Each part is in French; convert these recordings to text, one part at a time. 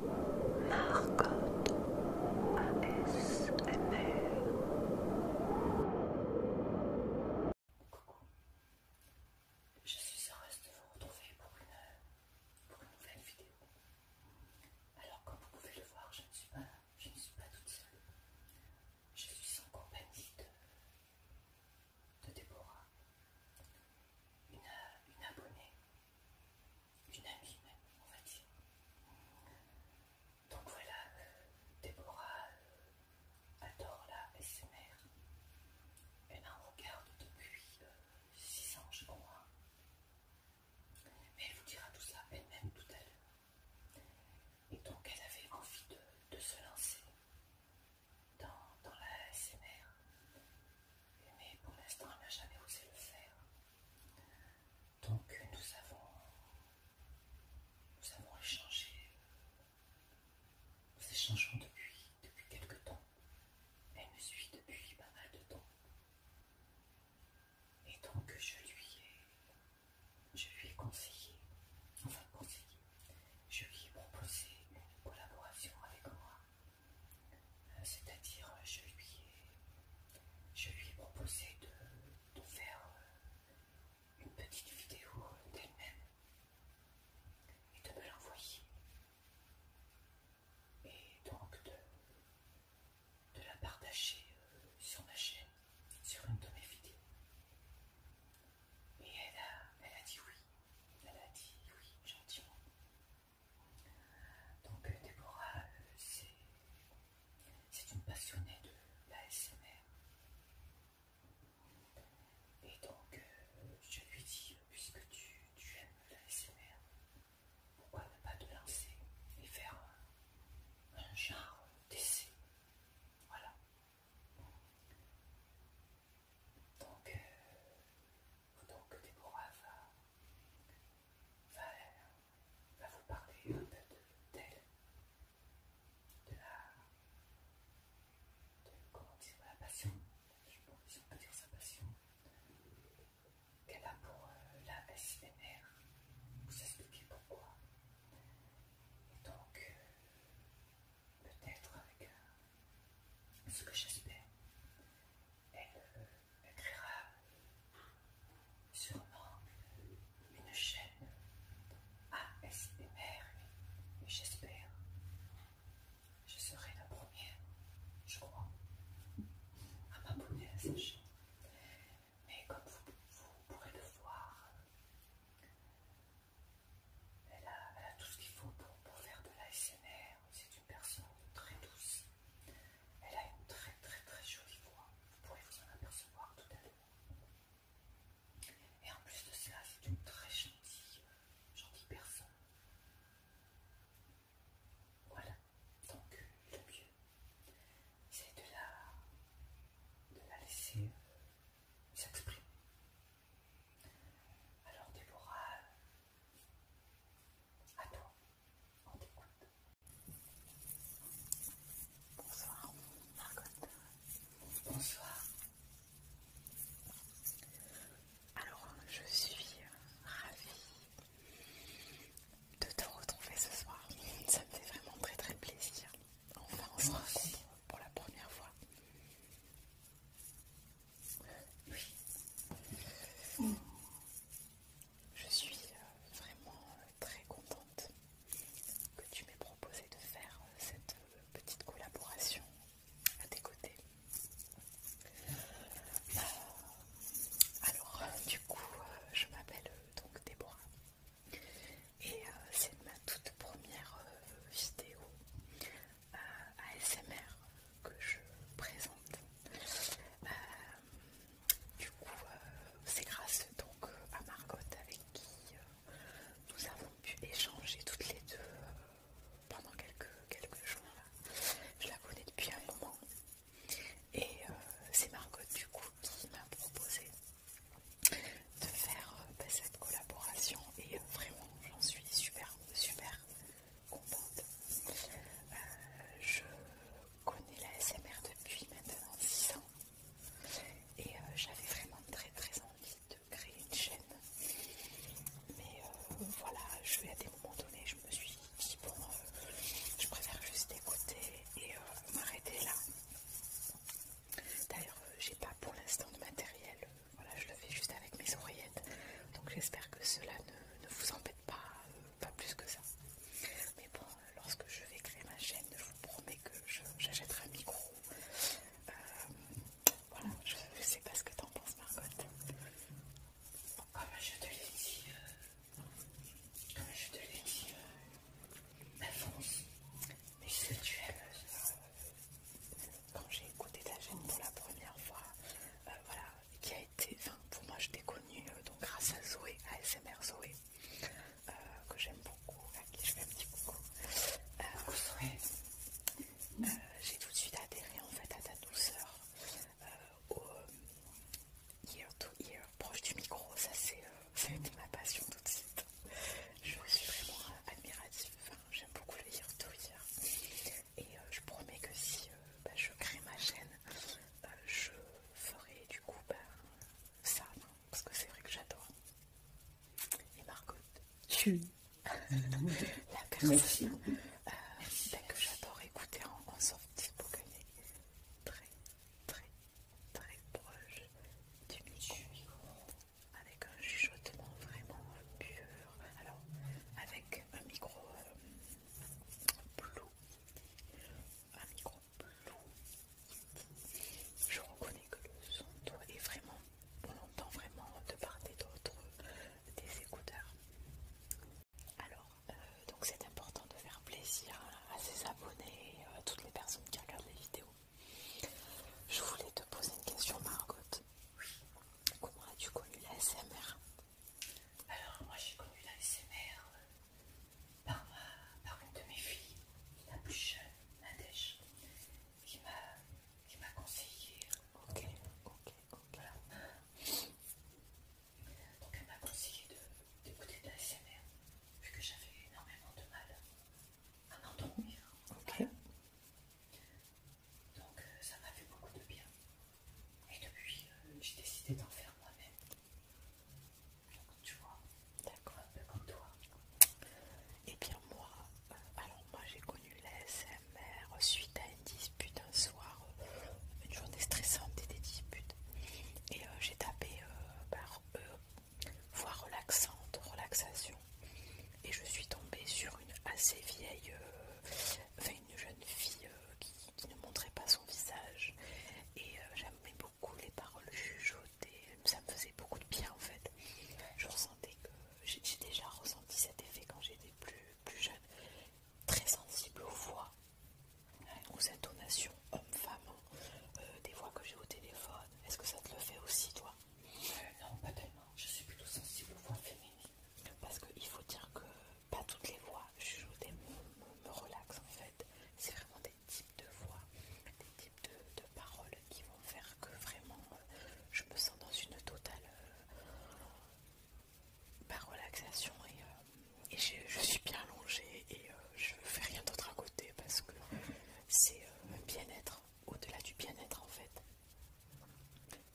Marcotte ASMR. Je suis heureuse de vous retrouver pour une, pour une nouvelle vidéo. Alors, comme vous pouvez le voir, je ne suis pas, je ne suis pas toute seule. Je suis en compagnie de, Déborah, une abonnée une amie même, on va dire. Donc voilà, euh, Déborah euh, adore la SMR. Elle en regarde depuis euh, six ans, je crois. Mais elle vous dira tout ça elle-même tout à l'heure. Et donc elle avait envie de, se lancer dans, dans la SMR mais pour l'instant elle n'a jamais osé le faire. Donc nous avons, nous avons échangé, euh, nous échangeons depuis, depuis quelque temps. Elle me suit depuis pas mal de temps. Et donc je lui ai, je lui ai conseillé, enfin conseillé, je lui ai proposé une collaboration avec moi. Euh, c'est-à-dire euh, je lui ai, proposé de, faire euh, une petite vidéo d'elle-même et de me l'envoyer et donc de, la partager sur ma chaîne, sur une de mes vidéos. Et elle a dit oui, elle a dit oui gentiment. Donc euh, Déborah, euh, c'est une passionnée de l'ASMR. Et donc euh, je lui dis, puisque tu, aimes aimes l'ASMR, pourquoi ne pas te lancer et faire un, genre d'essai voilà. Donc, donc Déborah va, va vous parler un peu d'elle, de, tel de la de, comment dire, la passion, je pense si on peut dire sa passion, qu'elle a pour euh, la SMR, vous expliquer pourquoi. Et donc, euh, peut-être avec un, ce que j'espère. Euh, elle créera sûrement une chaîne ASMR et j'espère je serai la première, je crois, à m'abonner à sa chaîne. Mais comme vous pourrez le voir, elle a, tout ce qu'il faut pour, faire de la l'ASMR. C'est une personne très douce. Elle a une très très très jolie voix. Vous pourrez vous en apercevoir tout à l'heure. Et en plus de cela, c'est une très gentille, euh, gentille personne. Voilà. Donc le mieux, c'est de de la laisser euh, s'exprime. Alors Déborah, à toi, on t'écoute. Bonsoir, Margot. Bonsoir. Alors, je suis ravie de te retrouver ce soir. Ça me fait vraiment très très plaisir. Enfin, on se rencontre pour la première fois. Oui. Je suis euh, vraiment euh, très contente que tu m'aies proposé de faire euh, cette petite collaboration à tes côtés. alors, du coup, je m'appelle donc Déborah. Et c'est ma toute première vidéo ASMR euh, que je présente. Euh, du coup, euh, c'est grâce donc à Margot avec qui nous avons pu échanger toutes les deux pendant quelques, jours. Je la connais depuis un moment. Et c'est Margot du coup qui m'a proposé de faire euh, bah, cette collaboration et euh, vraiment j'en suis super super contente. Euh, je connais la SMR depuis maintenant 6 ans et j'avais vraiment très très envie de créer une chaîne. Mais voilà, je vais à des moments donnés, je me suis dit bon, je préfère juste écouter et m'arrêter là. D'ailleurs, euh, j'ai pas pour l'instant de matériel, euh, voilà, je le fais juste avec mes oreillettes. Donc j'espère que cela ne, vous embête pas, euh, pas plus que ça. Mais bon, lorsque je vais créer ma chaîne, je vous promets que j'achèterai un micro. voilà, je, sais pas ce que tu en penses, Margot. comme ah, bah, je te l'ai dit, comme ah, je te l'ai dit, ma Mais que tu aimes, quand j'ai écouté ta chaîne pour la première fois, euh, voilà, qui a été, enfin, pour moi je t'ai connue euh, donc grâce à Zoé, à SMR Zoé, euh, que j'aime beaucoup, à qui je fais un petit coucou. j'ai tout de suite adhéré en fait à ta douceur, au ear to ear, proche du micro, ça c'est ça a été ma passion tout de suite. Je suis vraiment admirative, j'aime beaucoup le lire tout hier Et euh, je promets que si euh, bah, je crée ma chaîne, euh, je ferai du coup bah, ça, hein, parce que c'est vrai que j'adore. Et Margot, tu la personne bah, que j'adore écouter en, sortie pour gagner très très très proche du micro avec un chuchotement vraiment pur. Alors, avec un micro euh, un micro blue, je reconnais que le son est vraiment, on entend vraiment de part et d'autre des écouteurs. Alors, euh, donc c'est important de faire plaisir à ses abonnés, à toutes les personnes qui regardent les vidéos. Je voulais te poser une question, Margot. Oui. Comment as-tu connu la SMR Alors, moi, j'ai connu la SMR euh, par, une de mes filles, la plus jeune, Nadège, qui m'a conseillé. Euh, ok, ok, ok. Donc, elle m'a conseillé d'écouter de, de la SMR, vu que j'avais énormément de mal un Donc euh, ça m'a fait beaucoup de bien. Et depuis, euh, j'ai décidé d'en faire moi-même. Donc tu vois, d'accord, un peu comme toi. Et eh bien moi, euh, alors moi j'ai connu l'ASMR suite à une dispute un soir, une journée stressante et des disputes. Et j'ai tapé par eux Voix relaxante, relaxation. Et je suis tombée sur une assez vieille, euh, une jeune fille euh, qui, ne montrait pas son visage. Et euh, j'aimais beaucoup les paroles jugeotées ça me faisait beaucoup de bien en fait. Je ressentais que j'ai déjà ressenti cet effet quand j'étais plus, plus jeune, très sensible aux voix, hein, aux intonations homme-femme euh, des voix que j'ai au téléphone. Est-ce que ça te le fait aussi, toi euh, Non, pas tellement. Je suis plutôt sensible aux voix féminines. Parce qu'il faut dire que pas toutes les voix je me, me relaxent en fait. C'est vraiment des types de voix, des types de, paroles qui vont faire que vraiment euh, je me sens dans une totale bah, relaxation et, je, suis bien allongée et je fais rien d'autre à côté parce que c'est euh, un bien-être, au-delà du bien-être en fait.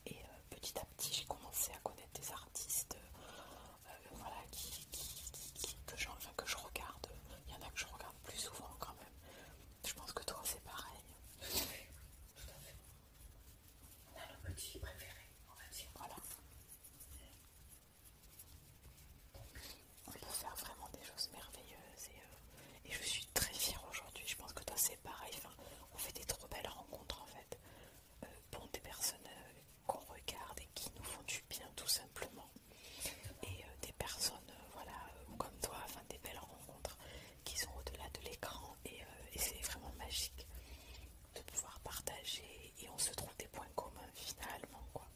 Et euh, petit à petit, j'ai commencé à connaître des artistes euh, qui, que, je, regarde. Il y en a que je regarde plus souvent quand même. Je pense que toi, c'est pareil. Tout à fait. Tout à fait. On a nos petits préférés, on va dire. Voilà. On peut faire vraiment des choses merveilleuses euh, et, je suis très fière aujourd'hui. Je pense que toi c'est pareil. on fait des trop belles rencontres en fait euh, des personnes euh, qu'on regarde et qui nous font du bien tout simplement. Et des personnes voilà, comme toi, enfin, des belles rencontres qui sont au-delà de l'écran et, c'est vraiment magique de pouvoir partager et on se trouve des points communs finalement. Quoi.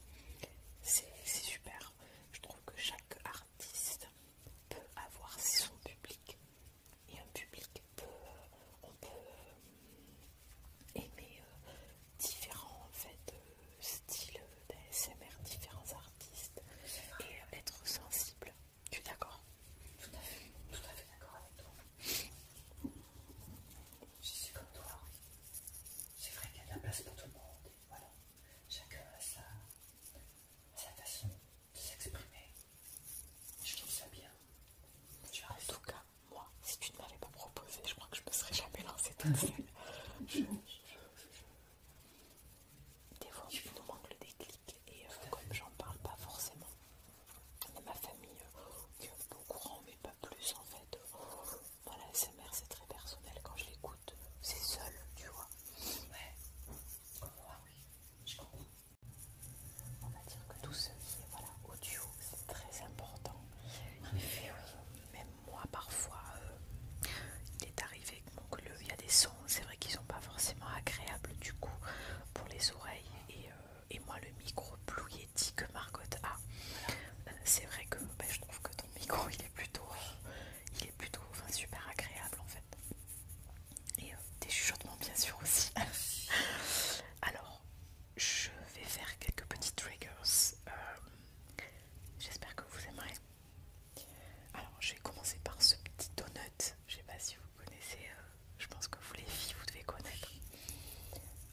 C'est super. Je trouve que chaque artiste peut avoir son public. Et un public peut, euh, on peut euh, aimer euh, différents styles d'ASMR, différents artistes et être sensible. Tu es d'accord Tout à fait, tout à fait d'accord avec toi. Je suis comme toi. C'est vrai qu'il y a de la place pour tout le monde. Voilà. Chacun a sa, façon de s'exprimer. Je trouve ça bien. en tout cas, moi, si tu ne m'avais pas proposé, je crois que je ne me serais jamais lancée toute seule. je, Des fois, il nous manque le déclic et euh, comme j'en parle pas forcément de ma famille, euh, que courant, mais pas plus en fait. voilà c'est très personnel. Quand je l'écoute, c'est seul, tu vois. comme moi, ah oui, je comprends. On va dire que tout ce qui est voilà, audio, c'est très important. En euh, Même moi, parfois, euh, il est arrivé que il y a des sons, c'est vrai qu'ils sont pas forcément agréables du coup pour les oreilles. Euh, euh, et moi le micro Blue Yeti que Margot a. Euh, c'est vrai que ben, je trouve que ton micro il est plutôt, euh, il est plutôt super agréable en fait. Et des chuchotements bien sûr aussi. Alors je vais faire quelques petits triggers. J'espère que vous aimerez. Alors je vais commencer par ce petit donut. Je sais pas si vous connaissez, je pense que vous les filles vous devez connaître.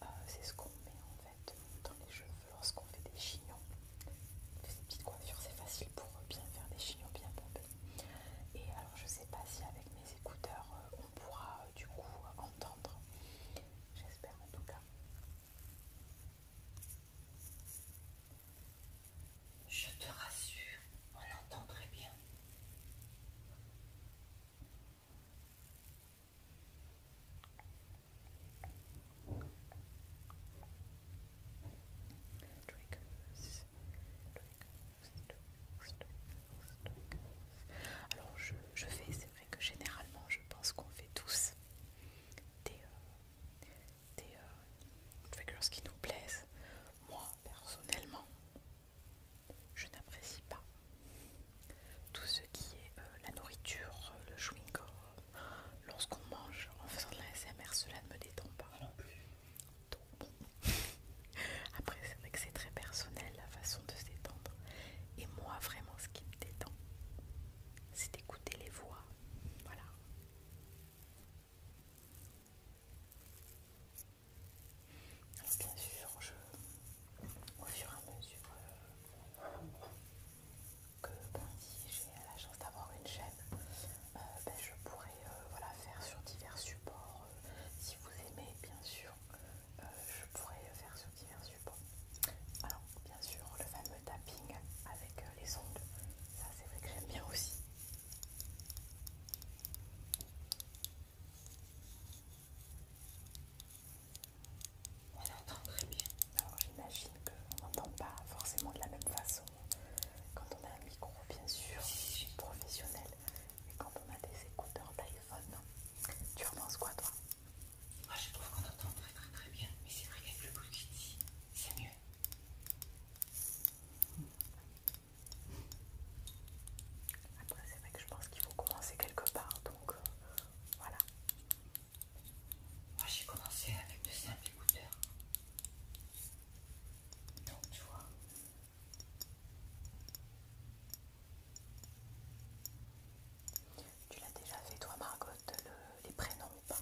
Euh, c'est ce qu'on met en fait dans les cheveux lorsqu'on fait des chignons. Des petites coiffures, c'est facile pour euh, bien faire des chignons bien pompés. Et alors je sais pas si avec mes écouteurs euh, on pourra du coup entendre. J'espère en tout cas. Je te rassure, on entend très bien. Alors je, fais, c'est vrai que généralement je pense qu'on fait tous des, triggers euh, euh, qui nous plaisent. Moi personnellement, je n'apprécie pas tout ce qui est euh, la nourriture, euh, le chewing lorsqu'on mange en faisant de la SMR, cela ne me détend pas. Ah après c'est vrai que c'est très personnel la façon de s'étendre. Et moi vraiment ce qui me détend, c'est d'écouter les voix. Voilà bien sûr, au fur et à mesure euh, que ben, j'ai la chance d'avoir une chaîne, euh, ben, je pourrais euh, faire sur divers supports. si vous aimez, bien sûr, je pourrais faire sur divers supports. Alors bien sûr, le fameux tapping avec les ongles, ça c'est vrai que j'aime bien aussi. On entend très bien. Alors j'imagine qu'on n'entend pas forcément de la même façon quand on a un micro bien sûr professionnel, mais quand on a des écouteurs d'iPhone, tu en penses quoi toi Moi je trouve qu'on entend très très très bien, mais c'est vrai qu'avec le bruit c'est mieux. Après, c'est vrai que je pense qu'il faut commencer quelque part, donc euh, voilà. Moi, j'ai commencé avec de simples écouteurs. Donc, tu vois. Tu l'as déjà fait, toi, Margot, les prénoms ou pas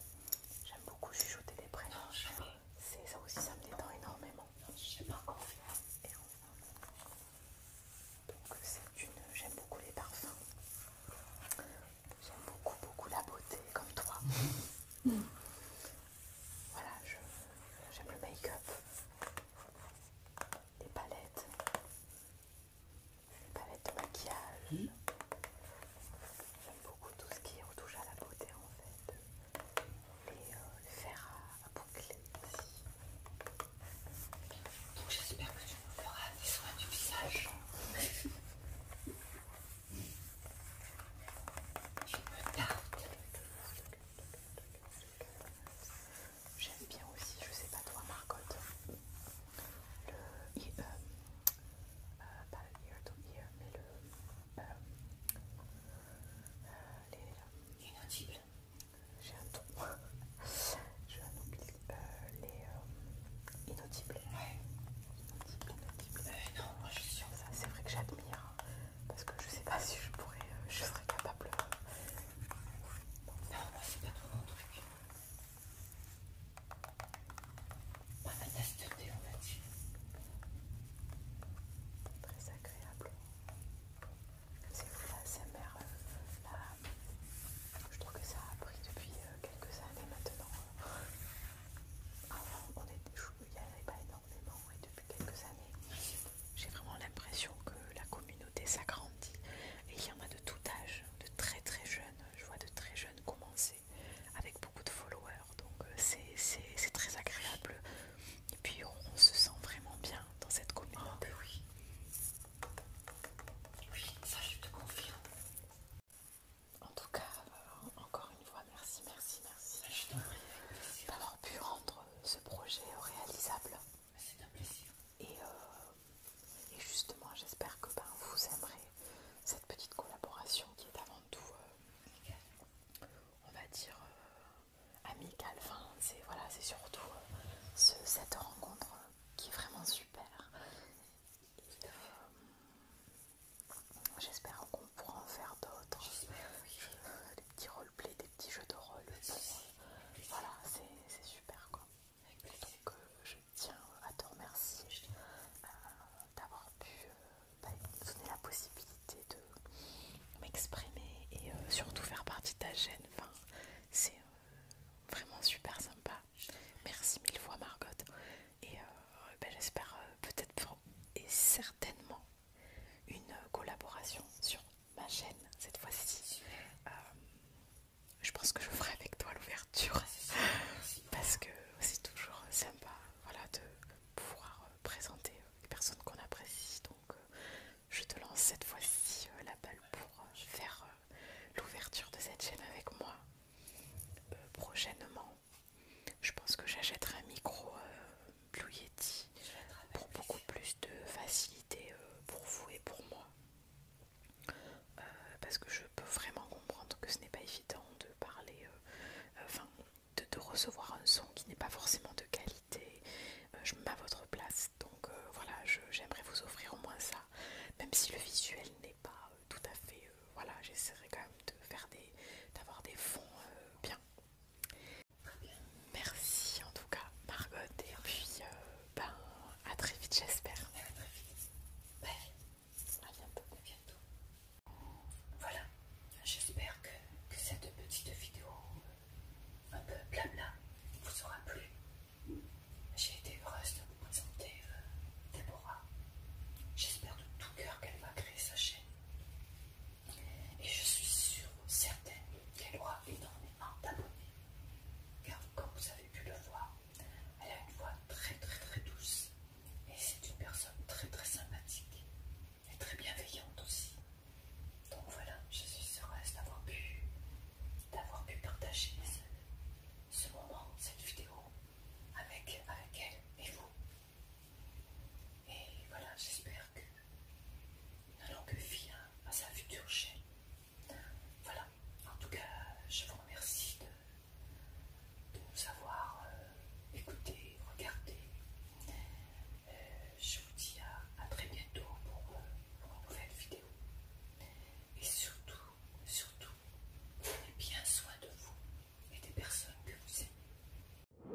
J'aime beaucoup chuchoter les prénoms. ça aussi, ça me détend énormément. je sais pas encore faire. Donc c'est une. J'aime beaucoup les parfums. J'aime beaucoup beaucoup la beauté comme toi. Voilà, j'aime le make-up. Les palettes. Les palettes de maquillage. Mmh. J'aime beaucoup tout ce qui touche à la beauté en fait les, le faire à, boucler boucler. Donc j'espère que tu me feras des soins du visage. J'aime bien aussi, je sais pas toi Marcotte, le euh, euh, pas le ear to ear, mais le euh, les... Euh, inaudibles. J'ai un ton. Je un oubli. les... Euh, inaudibles. Ouais. Euh, non, moi je suis sûre. Ça, c'est vrai que j'admire. Hein, parce que je sais pas si je pourrais... je serais capable... Non, moi c'est pas trop mon truc. Pas la on va dire très agréable. C'est la c'est euh, je trouve que ça a pris depuis euh, quelques années maintenant. Euh. Avant, on est, il n'y avait pas énormément et depuis quelques années, j'ai vraiment l'impression que la communauté s'agrandit et il y en a de tout âge, de très très jeunes. Je vois de très jeunes commencer avec beaucoup de followers, donc c'est très agréable et puis on, se sent vraiment bien dans cette communauté. Ah, ben oui. oui, ça je te confirme. En tout cas, euh, encore une fois, merci, merci, merci ben, d'avoir pu rendre ce projet euh, réalisable. Ben, c'est un plaisir. Et, euh, justement, j'espère que vous aimerez cette petite collaboration qui est avant tout on va dire, euh, amical, Enfin, c'est surtout euh, cette rencontre euh, qui est vraiment super. J'espère qu'on pourra en faire d'autres. des petits roleplays, des petits jeux de rôle. voilà, c'est super quoi. Donc je tiens à te remercier d'avoir pu me donner la possibilité de m'exprimer et euh, surtout faire partie de ta chaîne. c'est euh, vraiment super sympa. Merci mille fois Margot. Et euh, ben, j'espère peut-être et certainement une collaboration sur ma chaîne cette fois-ci. je pense que je ferai avec toi l'ouverture ah, parce que c'est toujours sympa voilà, de pouvoir présenter les personnes qu'on apprécie. Donc euh, je te lance cette fois-ci euh, la balle pour euh, faire l'ouverture de cette chaîne avec moi prochainement. Je pense que j'achèterai un micro Blue Yeti pour beaucoup plus de facilité pour vous et pour moi. parce que je peux vraiment comprendre que ce n'est pas évident de parler, de, recevoir un son qui n'est pas forcément de qualité. Euh, je mets à votre place. Donc euh, voilà, j'aimerais vous offrir au moins ça. Même si le visuel n'est pas euh, tout à fait... voilà, j'essaierai quand même de faire des... d'avoir des fonds bien. Merci en tout cas Margot et puis ben à très vite j'espère. A bientôt. Voilà, j'espère que, cette petite vidéo euh, un peu blabla vous aura plu. J'ai été heureuse de vous présenter euh, Deborah J'espère de tout cœur qu'elle va créer sa chaîne. Et je suis sûre, certaine, qu'elle aura énormément d'abonnés. Car comme vous avez pu le voir, elle a une voix très très très douce et c'est une personne très très sympathique et très bienveillante aussi. Donc voilà, je suis heureuse d'avoir pu, pu partager ce, moment, cette vidéo avec, avec elle et vous. Et voilà, j'espère que Nous n'allons vient à, à sa future chaîne. Voilà, en tout cas, je vous remercie de nous avoir euh, écoutés, regardés. Euh, je vous dis à, très bientôt pour, euh, pour une nouvelle vidéo. Et surtout, surtout, prenez bien soin de vous et des personnes que vous aimez.